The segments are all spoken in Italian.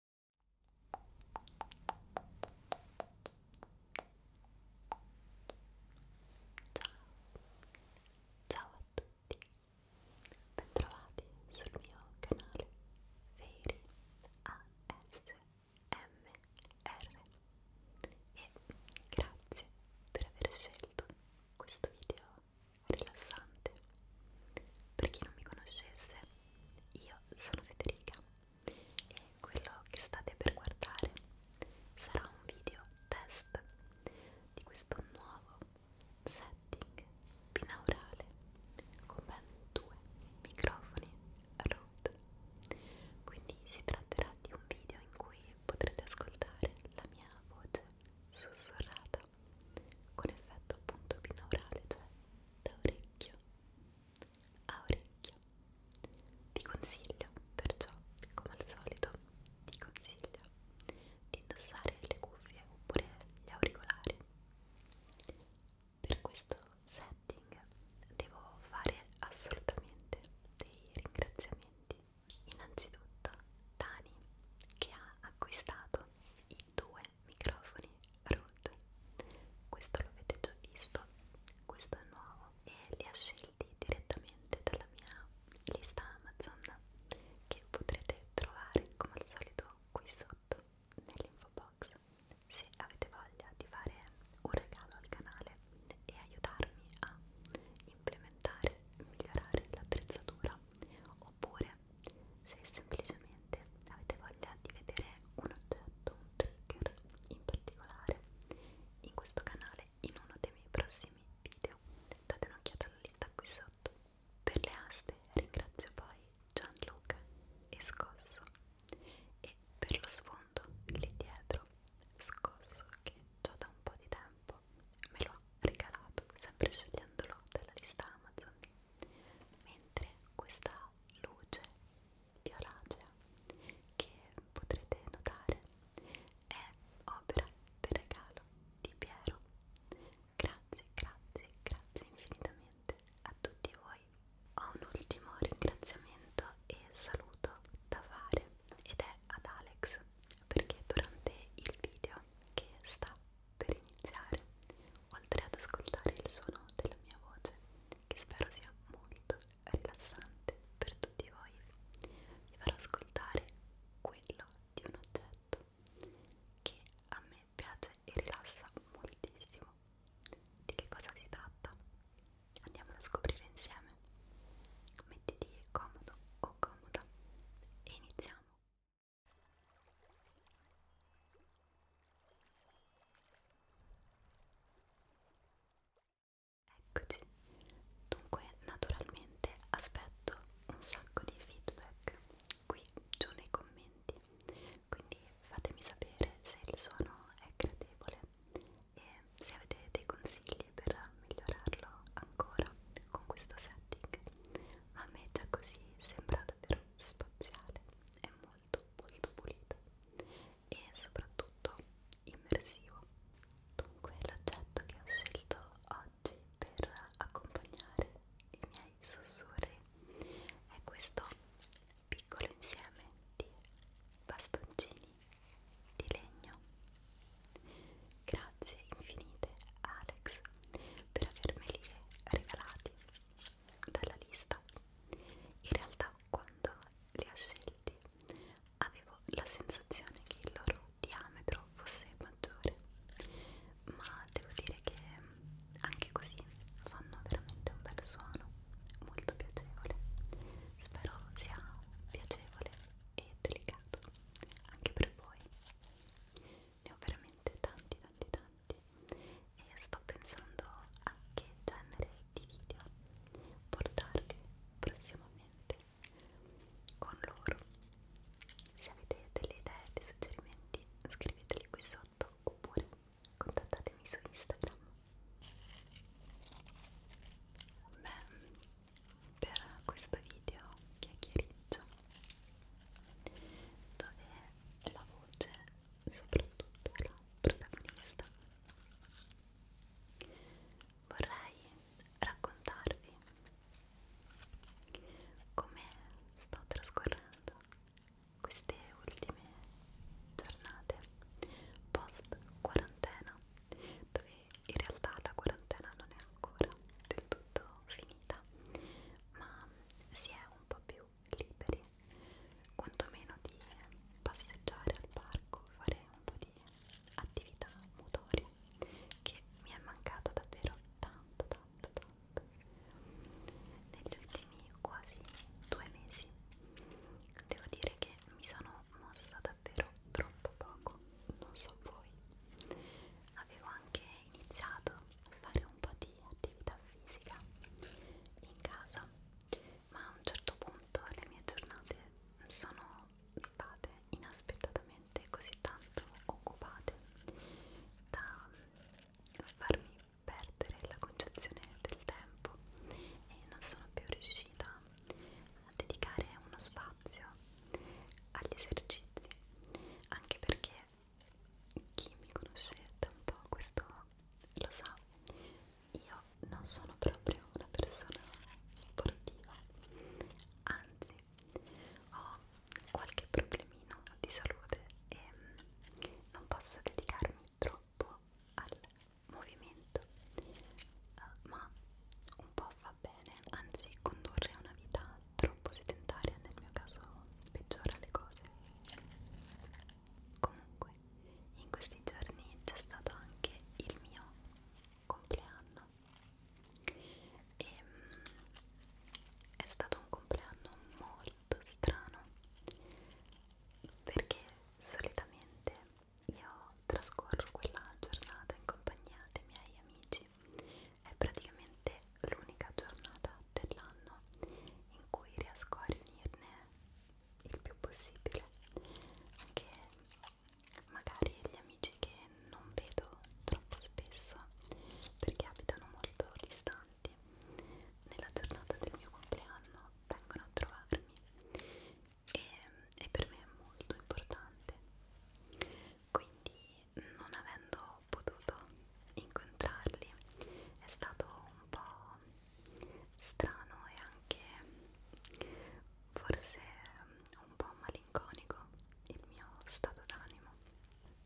Ciao, ciao a tutti, bentrovati sul mio canale Veri ASMR e grazie per aver scelto questo video rilassante. Per chi non mi conoscesse, io sono Federica e quello che state per guardare sarà un video test di questo nuovo setting binaurale con ben due microfoni Rode. Quindi si tratterà di un video in cui potrete ascoltare la mia voce sussurrata con effetto appunto binaurale, cioè da orecchio a orecchio. Ti consiglio perciò, come al solito, ti consiglio di indossare le cuffie oppure gli auricolari. Per questo setting devo fare assolutamente dei ringraziamenti. Innanzitutto Dani che ha acquistato il due microfoni Rode questo l'avete già visto questo è nuovo e li ha scelti direttamente dalla mia lista Amazon che potrete trovare come al solito qui sotto nell'info box se avete voglia di fare un regalo al canale e aiutarmi a implementare migliorare l'attrezzatura oppure se semplicemente avete voglia di vedere un oggetto, un trigger in particolare in questo canale in uno dei miei prossimi video date un'occhiata alla lista qui sotto per le aste ringrazio poi Gianluca e Scosso e per lo sfondo lì dietro Scosso che già da un po' di tempo me lo ha regalato sempre scegliendolo dalla lista Amazon mentre questa luce violacea che potrete notare è opera del regalo di Piero grazie grazie grazie infinitamente a tutti voi ho un ultimo ringraziamento e saluto da fare ed è ad Alex perché durante il video che sta per iniziare, oltre ad ascoltare il suono della mia voce, che spero sia molto rilassante per tutti voi, vi farò ascoltare quello di un oggetto che a me piace e rilassa moltissimo. Di che cosa si tratta? Andiamolo a scoprire insieme. Mettiti comodo o comoda e iniziamo. Eccoci, dunque naturalmente aspetto un sacco di feedback qui giù nei commenti, quindi fatemi sapere se il suono è gradevole e se avete dei consigli per migliorarlo ancora con questo setting. A me già così sembra davvero spaziale, è molto molto pulito e soprattutto immersivo. Dunque l'oggetto che ho scelto oggi per accompagnare i miei sussurri è questo piccolo insieme di bastoncini di legno. Grazie infinite Alex per avermeli regalati dalla lista in realtà quando li ha scelti avevo la sensazione che il loro diametro fosse maggiore ma devo dire che anche così fanno veramente un bel suono molto piacevole spero sia piacevole e delicato anche per voi ne ho veramente tanti tanti tanti e sto pensando a che genere di video portarvi prossimamente con loro se avete delle idee, dei suggerimenti scriveteli qui sotto oppure contattatemi su Instagram Beh, per questo video chiacchiericcio dove la voce, soprattutto la protagonista, vorrei raccontarvi come sto trascorrendo queste ultime giornate post quarantena dove in realtà la quarantena non è ancora del tutto finita ma si è un po' più liberi, quantomeno di passeggiare al parco, fare un po' di attività motoria che mi è mancata davvero tanto tanto tanto negli ultimi quasi due mesi devo dire che mi sono mossa davvero troppo poco non so voi avevo anche iniziato a fare un po' di attività fisica in casa, ma a un certo punto le mie giornate sono state inaspettatamente così tanto occupate da farmi perdere la concezione del tempo e non sono più riuscita a dedicare uno spazio agli esercizi anche perché chi mi conosce da un po' questo lo sa, io non sono proprio una persona sportiva, anzi ho qualche problemino di salute e mm, non posso dedicarmi troppo al movimento, eh, ma un po' va bene, anzi condurre una vita troppo sedentaria nel mio caso peggiora le cose comunque in questi giorni c'è stato anche il mio compleanno e ehm, è stato un compleanno molto strano perché solitamente io trascorro quella giornata in compagnia dei miei amici è praticamente l'unica giornata dell'anno in cui riesco a riunirne il più possibile anche magari gli amici che non vedo troppo spesso perché abitano molto distanti nella giornata del mio compleanno vengono a trovarmi e, e per me è molto importante quindi non avendo potuto incontrarli è stato un po' strano e anche forse un po' malinconico il mio stato d'animo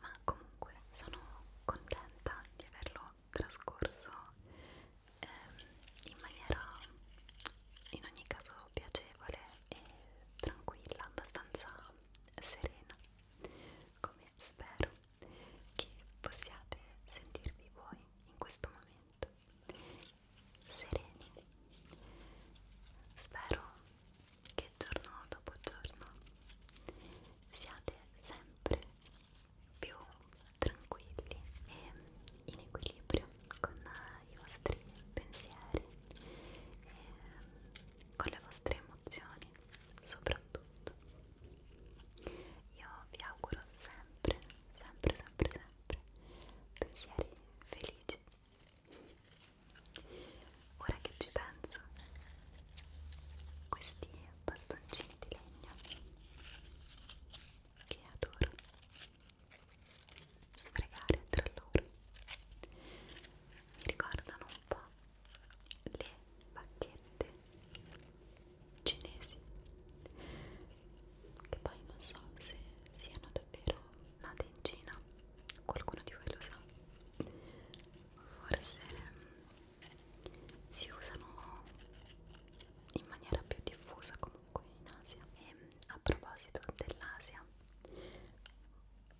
ma comunque sono contenta di averlo trascorso ehm, in maniera in ogni caso piacevole e tranquilla abbastanza serena come spero che possiate sentirvi voi in questo momento sereni spero che giorno dopo giorno siate sempre più tranquilli e in equilibrio con i vostri pensieri e con le vostre emozioni soprattutto io vi auguro sempre sempre sempre sempre pensieri felici ora che ci penso questi bastoncini di legno che adoro sfregare tra loro mi ricordano un po' le bacchette cinesi che poi non so se siano davvero nate in Cina qualcuno di voi lo sa forse mm, si usano in maniera più diffusa comunque in Asia e a proposito dell'Asia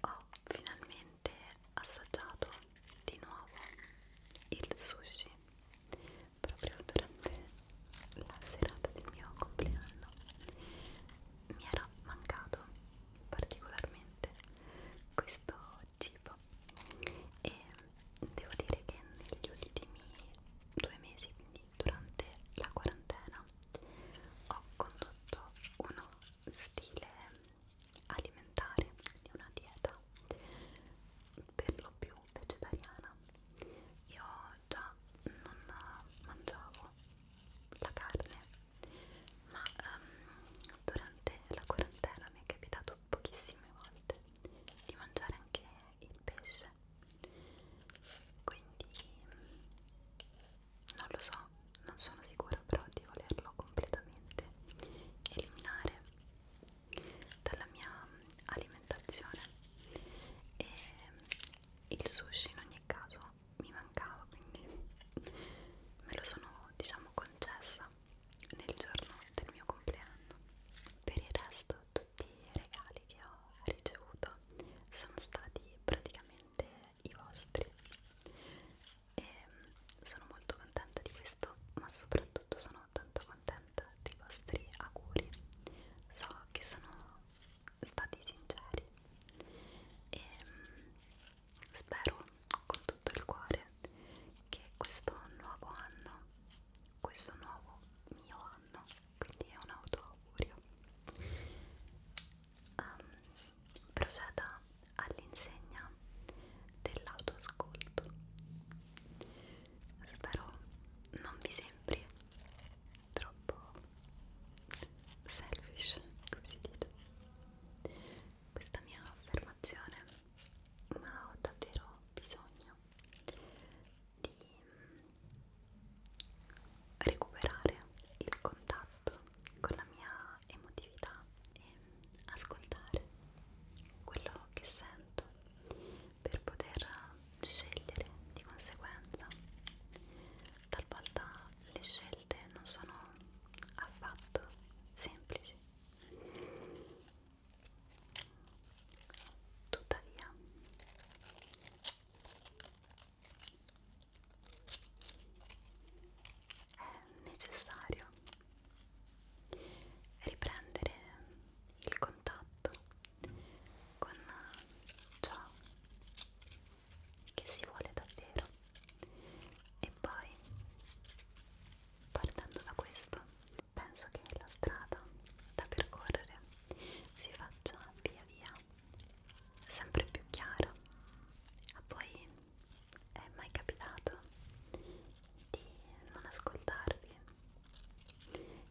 ho ho finalmente assaggiato di nuovo il sushi proprio durante la serata del mio compleanno mi era mancato particolarmente questo cibo e devo dire che negli ultimi due mesi quindi durante la quarantena ho condotto uno stile alimentare, quindi una dieta per lo più vegetariana. Io già non mangiavo la carne, ma um, durante la quarantena mi è capitato pochissime volte di mangiare anche il pesce. Quindi non lo so, non sono sicura però di volerlo completamente eliminare dalla mia alimentazione e il sushi in ogni caso mi mancava quindi me lo sono diciamo concessa nel giorno del mio compleanno per il resto tutti i regali che ho ricevuto sono stati praticamente ovviamente i vostri e ehm, sono molto contenta di questo ma soprattutto sono tanto contenta dei vostri auguri so che sono stati sinceri e ehm, spero con tutto il cuore che questo nuovo anno questo nuovo mio anno quindi è un auto augurio um, proceda all'insegna dell'autoascolto. Spero non vi sembri troppo selfish, come si dice, questa mia affermazione, ma ho davvero bisogno di recuperare il contatto con la mia emotività e ascoltare quello che sento per poter scegliere di conseguenza. Talvolta le scelte non sono affatto semplici. Tuttavia, è necessario riprendere il contatto con ciò che si vuole davvero e poi partendo da questo penso che la strada da percorrere si faccia via via sempre più chiara. A voi è mai capitato di non ascoltarvi?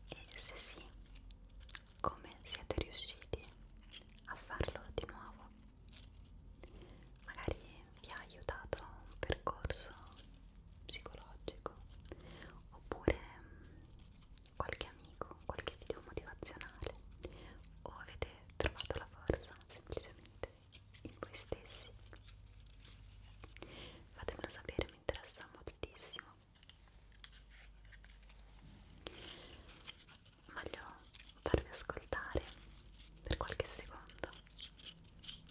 E se sì, come siete riusciti a farlo di nuovo? Magari vi ha aiutato un percorso psicologico oppure qualche amico, qualche video motivazionale o avete trovato la forza semplicemente in voi stessi. Fatemelo sapere, mi interessa moltissimo. Voglio farvi ascoltare per qualche secondo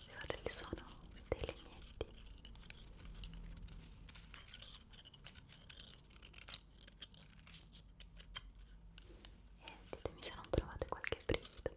solo il suono dei legnetti e ditemi se non provate qualche brivido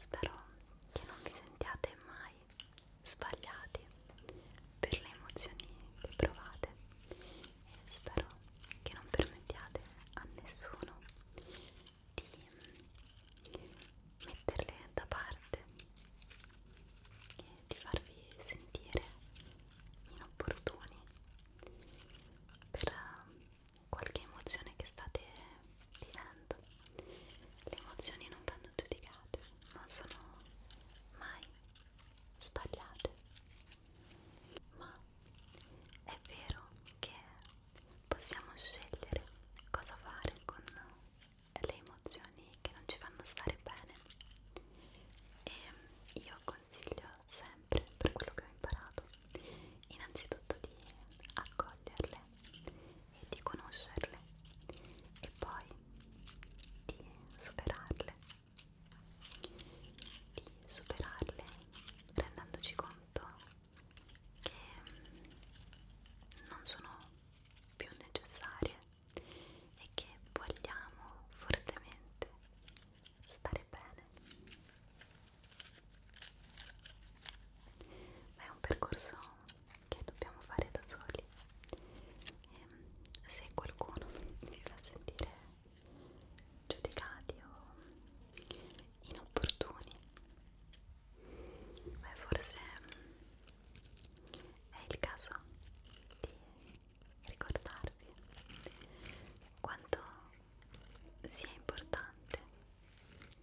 Spero che non vi sentiate mai sbagliati per le emozioni che provate e spero che non permettiate a nessuno di metterle da parte e di farvi sentire inopportuni per eh, qualche emozione che state vivendo. Le emozioni non vanno giudicate, non sono mai sbagliate, ma è vero che possiamo scegliere cosa fare con le emozioni che non ci fanno stare bene e io consiglio sempre per quello che ho imparato innanzitutto di accoglierle e di conoscerle e poi di superarle di superarle rendendoci conto che non sono più necessarie e che vogliamo fortemente stare bene. È un percorso che dobbiamo fare da soli e ehm, se qualcuno vi fa sentire giudicati o inopportuni beh forse mm, è il caso di ricordarvi quanto sia importante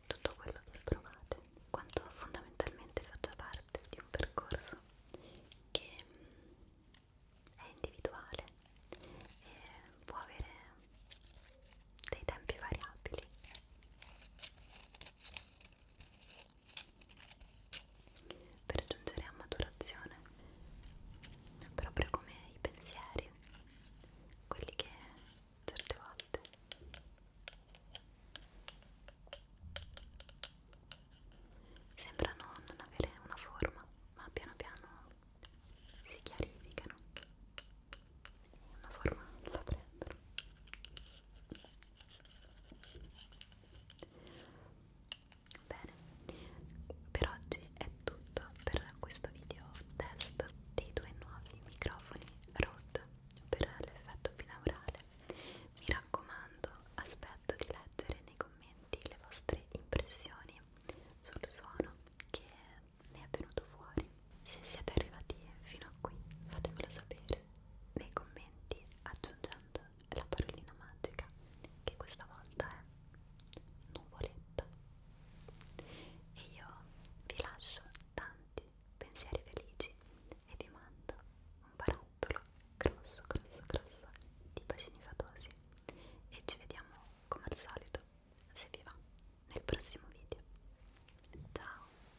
tutto quello che provate quanto fondamentalmente faccia parte di un percorso che mm, è individuale e può avere dei tempi variabili per giungere a maturazione proprio come i pensieri quelli che certe volte sembrano non avere una forma ma piano piano si chiarificano e una forma la prendono bene per oggi è tutto per questo video test dei due nuovi microfoni Rode per l'effetto binaurale mi raccomando aspetto di leggere nei commenti le vostre impressioni sul suono che ne è venuto fuori. Se siete arrivati fino a qui, fatemelo sapere nei commenti aggiungendo la parolina magica che questa volta è nuvoletta. E io vi lascio tanti pensieri felici e vi mando un barattolo grosso, grosso, grosso di bacini fatosi. E ci vediamo come al solito presto, se vi va, nel prossimo video. Ciao!